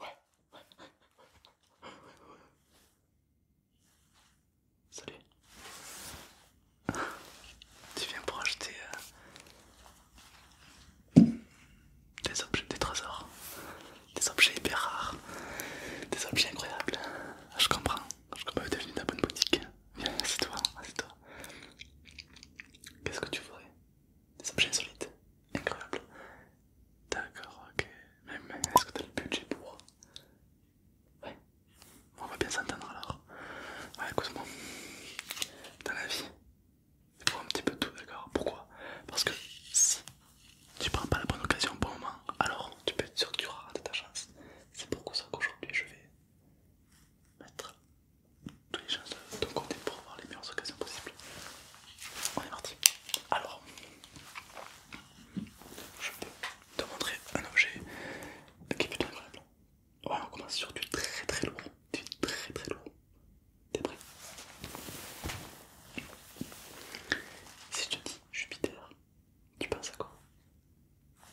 Ouais. Ouais, ouais, Salut. Tu viens pour acheter euh, des objets, des trésors, des objets hyper rares, des objets incroyables. Ah, je comprends. Je comprends. es venu dans la bonne boutique. Viens, assieds-toi, assieds-toi. Qu'est-ce que tu voudrais Des objets insolites, incroyables. D'accord, ok. Mais, est-ce que t'as le budget pour Ouais. On va bien s'entendre alors. Ouais, écoute-moi. Dans la vie, il faut un petit peu tout, d'accord Pourquoi Parce que si tu prends pas la bonne occasion au bon moment, alors tu peux être sûr que tu auras de ta chance. C'est pour ça qu'aujourd'hui je vais mettre toutes les chances de ton côté pour avoir les meilleures occasions possibles. On est parti. Alors, je peux te montrer un objet qui est plutôt incroyable. Ouais, oh, on commence sur du très très lourd, du très très lourd. T'es prêt Si je te dis Jupiter, tu penses à quoi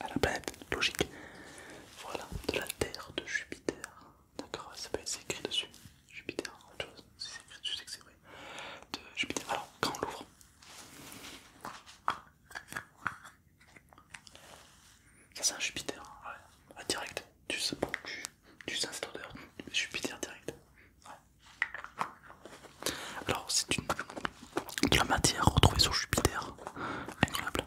À la planète, logique. Voilà, de la Terre de Jupiter. D'accord, ça peut être écrit dessus. Jupiter, autre chose. Si c'est écrit dessus, c'est que c'est vrai de Jupiter. Alors, quand on l'ouvre, ça c'est hein. ah, Jupiter, direct, tu, tu sens cette odeur, Jupiter direct. Alors, c'est une de matière retrouvée sur Jupiter, incroyable.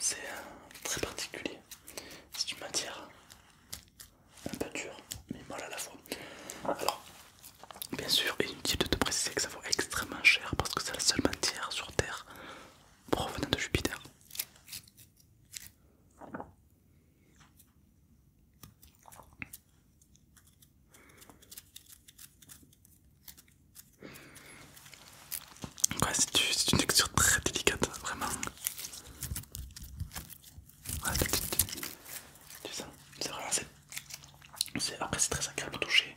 C'est euh, très particulier. C'est une matière un peu dure, mais molle à la fois. Alors, bien sûr, inutile de te préciser que ça vaut extrêmement cher parce que c'est la seule matière sur Terre provenant de Jupiter c'est une texture très délicate, vraiment. c'est vraiment après c'est très agréable à toucher.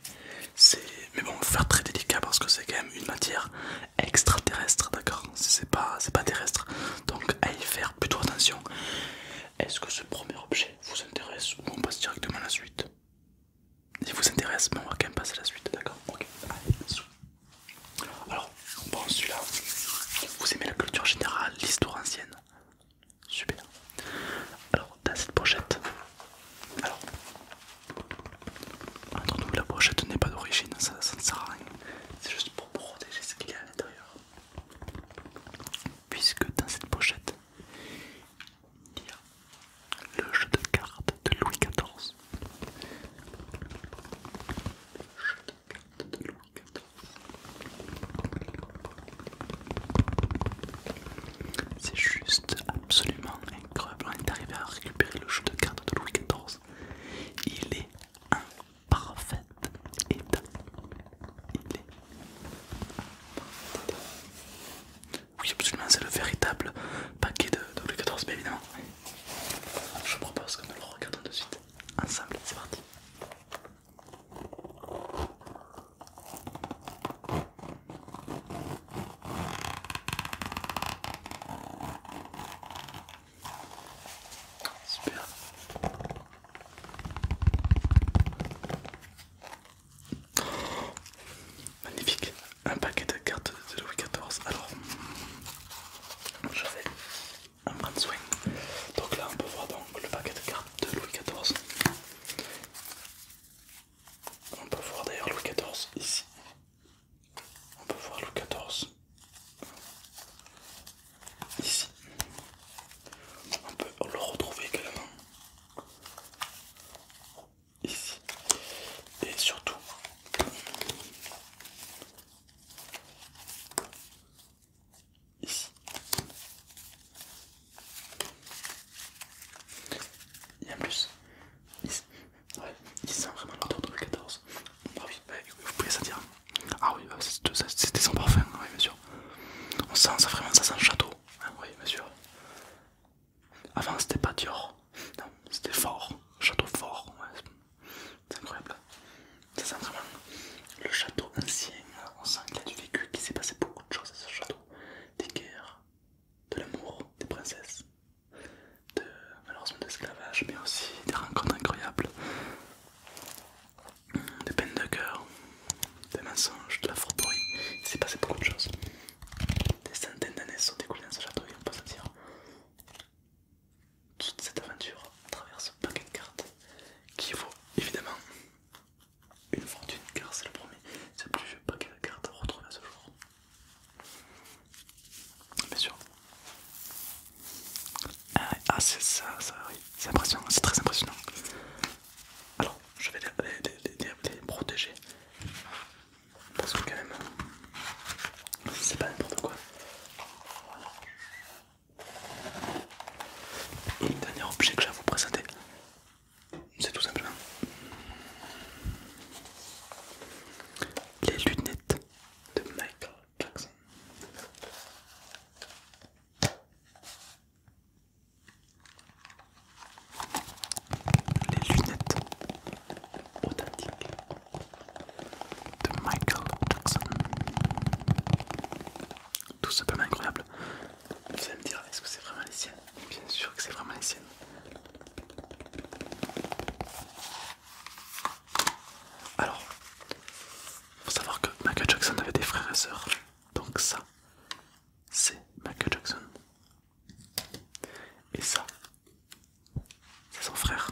C'est mais bon, faire très délicat parce que c'est quand même une matière extraterrestre, d'accord C'est pas c'est pas terrestre. Donc à y faire plutôt attention. Est-ce que ce premier objet vous intéresse ou on passe directement à la suite il vous intéresse, mais on va quand même passer à la suite, d'accord Ok, allez, sous. Alors, bon, celui-là, vous aimez la culture générale, l'histoire ancienne Super. Alors, dans cette pochette, alors, entre nous, la pochette n'est pas d'origine, ça ne sert à rien. C'est juste pour protéger ce qu'il y a à l'intérieur. Puisque dans cette pochette, il y a le jeu de cartes de Louis XIV. Louis XIV. C'est juste absolument incroyable. On est arrivé à récupérer le jeu de cartes de Louis XIV. Il est parfait oui, absolument, c'est le véritable paquet de, w 14 bien évidemment. Je propose que nous le regardions de suite ensemble. C'est parti. Super. Magnifique, un paquet de cartes de Louis XIV. Alors, je vais en prendre soin. Donc là, on peut voir donc le paquet de cartes de Louis XIV. On peut voir d'ailleurs Louis XIV ici. On peut voir Louis XIV ici. On peut le retrouver également ici. Et surtout, ici. Il y a plus. il ouais, il sent vraiment l'ordre de 14. Ah oui, bah, vous pouvez ça dire. Ah oui, bah, c'est c'était sans parfum, oui, bien sûr. On sent ça vraiment, ça sent château. Ah oui, bien sûr. Avant c'était pas Dior, non, c'était fort, château fort, c'est incroyable. Ça sent vraiment le château ancien, on sent qu'il a du vécu, qu'il s'est passé beaucoup de choses à ce château. Des guerres, de l'amour, des princesses, de malheureusement de l'esclavage, mais aussi des rencontres incroyables, des peines de cœur, des mensonges, de la fourberie, il s'est passé beaucoup de choses. Des centaines d'années sont découlées dans ce château et on peut sentir toute cette aventure à travers ce paquet de cartes qui vaut évidemment une fortune car c'est le premier, c'est le plus vieux paquet de cartes retrouvé à ce jour. Bien sûr. Ah, ah c'est ça, ça oui, c'est impressionnant, c'est très impressionnant. Alors je vais les protéger parce que quand même, c'est pas n'importe quoi. Et le dernier objet que j'ai à vous présenter, c'est tout simplement les lunettes de Michael Jackson. Les lunettes authentique de Michael Jackson. Tout ce incroyable. Vous allez me dire, est-ce que c'est vraiment les siennes Bien sûr que c'est vraiment les siennes. Alors, faut savoir que Michael Jackson avait des frères et sœurs, donc ça, c'est Michael Jackson. Et ça, c'est son frère.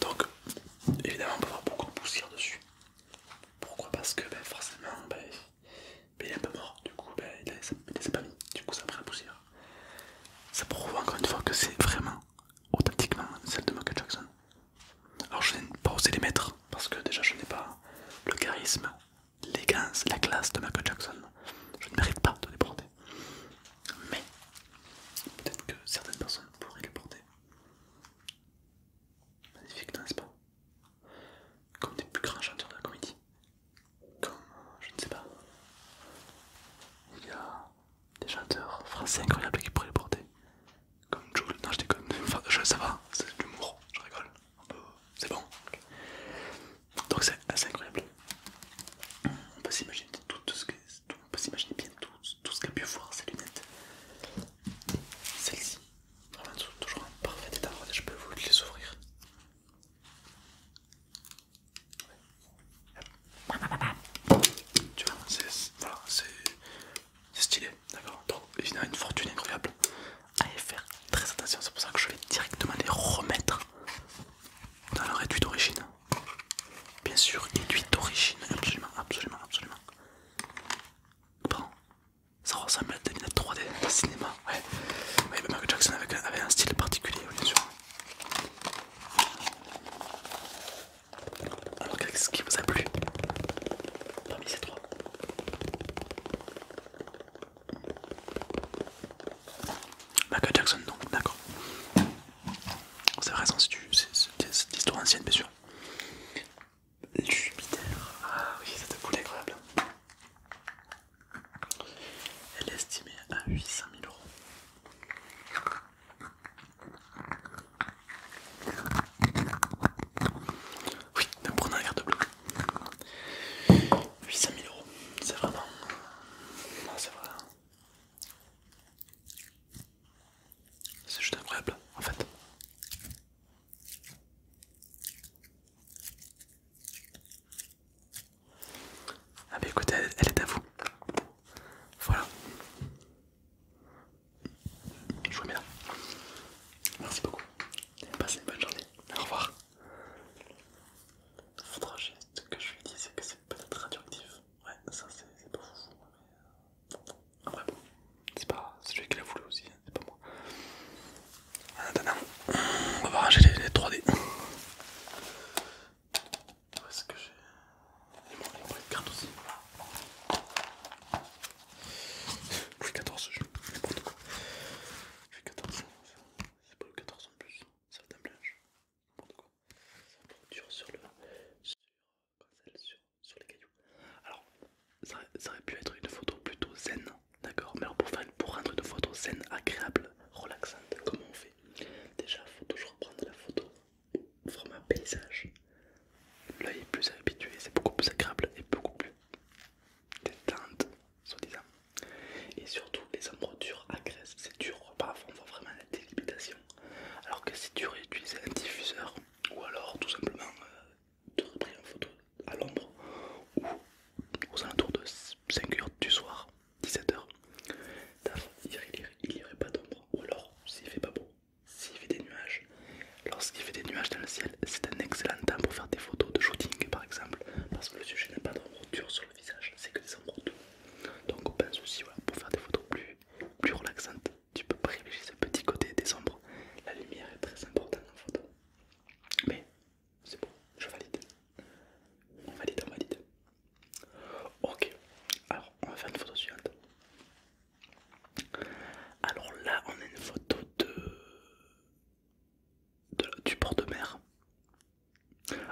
Donc, évidemment, on peut avoir beaucoup de poussière dessus. Pourquoi Parce que ben, forcément, ben, ben, il est un peu mort, du coup, il ne les a pas mis, du coup, ça prend la poussière. Ça prouve encore une fois que c'est vraiment authentiquement celle de Michael Jackson. Alors, je n'ai pas osé les mettre parce que déjà, je n'ai pas le charisme les c'est la classe de Michael Jackson. Je ne mérite pas de les porter. Mais peut-être que certaines personnes pourraient les porter. Magnifique, n'est-ce pas Comme des plus grands chanteurs de la comédie. Comme, euh, je ne sais pas. Il y a des chanteurs français incroyables qui pourraient les porter. Comme Jules. Non, je déconne. Enfin, je, ça va, c'est de l'humour, je rigole c'est bon. Donc c'est assez incroyable. On peut s'imaginer tout, ce que, peut s'imaginer bien tout, tout ce qu'a pu voir ces lunettes. Celle-ci, vraiment toujours en parfait état. Je peux vous les ouvrir. Tu vois, c'est c'est stylé, d'accord Donc, a une fortune incroyable. Allez faire très attention, c'est pour ça que je vais directement les remettre dans leur éduite d'origine. Bien sûr, étui d'origine, absolument, absolument, absolument. Bon, ça ressemble à des lunettes 3D de cinéma, ouais. Mais Michael Jackson avait un style particulier, bien sûr. Alors, qu'est-ce qui vous a plu parmi ces trois Michael Jackson, donc, d'accord. C'est vrai, c'est cette histoire ancienne, bien sûr. Jupiter, ah oui, ça te poulet incroyable. Elle est estimée à 800 000 euros. Oui, donc prenons un verre de 800 000 euros, c'est vraiment. c'est vrai. C'est juste incroyable en fait. Ah, bah écoutez, elle, est à vous. Voilà. Je vous mets là. Merci beaucoup. Passez une bonne journée. Au revoir. Faudra juste que je lui dise c'est que c'est peut-être radioactif. Ouais, ça c'est pas fou. Mais... Euh, après bon, c'est pas celui qui l'a voulu aussi, hein, c'est pas moi. En attendant, on va ranger les, les 3D. Où est-ce que j'ai... les mon carte aussi. Louis c'est pas le 14 en plus, c'est le temps blanche. N'importe quoi. Ça dur sur le. Sur, les cailloux. Alors, ça, aurait pu être une photo plutôt zen, d'accord Mais alors pour, pour rendre une photo zen agréable, relaxante, comment on fait Déjà, faut toujours prendre la photo format paysage. L'œil est plus habitué, c'est beaucoup plus agréable et beaucoup plus des teintes, soi-disant. Et surtout, les ombres dures agressent, c'est dur, parfois on voit vraiment la délimitation. Alors que si tu aurais un diffuseur, ou alors tout simplement euh, tu aurais une photo à l'ombre, ou aux alentours de 5h du soir, 17h, il n'y aurait pas d'ombre. Ou alors, s'il fait pas beau, s'il fait des nuages, Lorsqu'il fait des nuages dans le ciel, c'est un excellent temps pour faire des photos de shooting par exemple, parce que le sujet n'a pas de dure sur le visage, c'est que des ombres. Donc on pense aussi pour faire des photos plus, plus relaxantes, tu peux privilégier ce petit côté des ombres. La lumière est très importante en photo. Mais c'est bon, je valide. On valide, on valide. Ok, alors on va faire une photo suivante. Alors là, on a une photo de, du port de mer.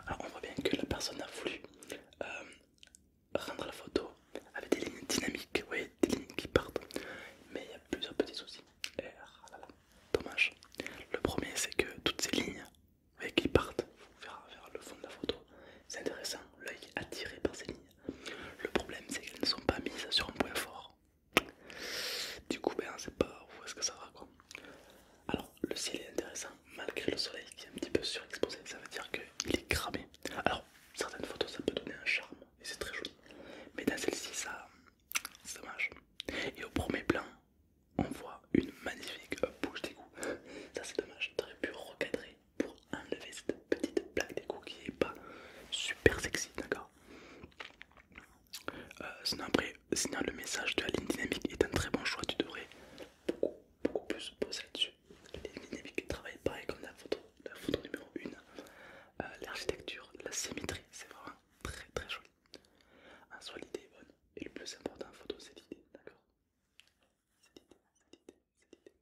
Alors on voit bien que la personne a voulu euh, rendre la photo avec des lignes dynamiques, des lignes qui partent, mais il y a plusieurs petits soucis. Ah dommage. Le premier, c'est que toutes ces lignes qui partent vers, vers le fond de la photo, c'est intéressant, l'œil attiré par ces lignes. Le problème, c'est qu'elles ne sont pas mises sur un point fort. Du coup, ben, ne sait pas où est-ce que ça va quoi. Alors, le ciel est intéressant malgré le soleil qui est un petit peu surexposé, ça veut dire qu'il est cramé. Alors, certaines photos ça peut donner un charme et c'est très joli, mais dans celle-ci, ça, c'est dommage. Et au premier plan, on voit une magnifique bouche d'égout. Ça, c'est dommage, j'aurais pu recadrer pour enlever cette petite plaque d'égout qui est pas super sexy, d'accord euh, sinon après, le message de la ligne dynamique est un très bon choix, tu devrais beaucoup, plus poser là-dessus. La ligne dynamique travaille pareil comme la photo, la photo numéro 1. Euh, l'architecture, la symétrie, c'est vraiment très très joli. En soi l'idée est bonne et le plus important en photo c'est l'idée, d'accord C'est l'idée, c'est l'idée, c'est l'idée.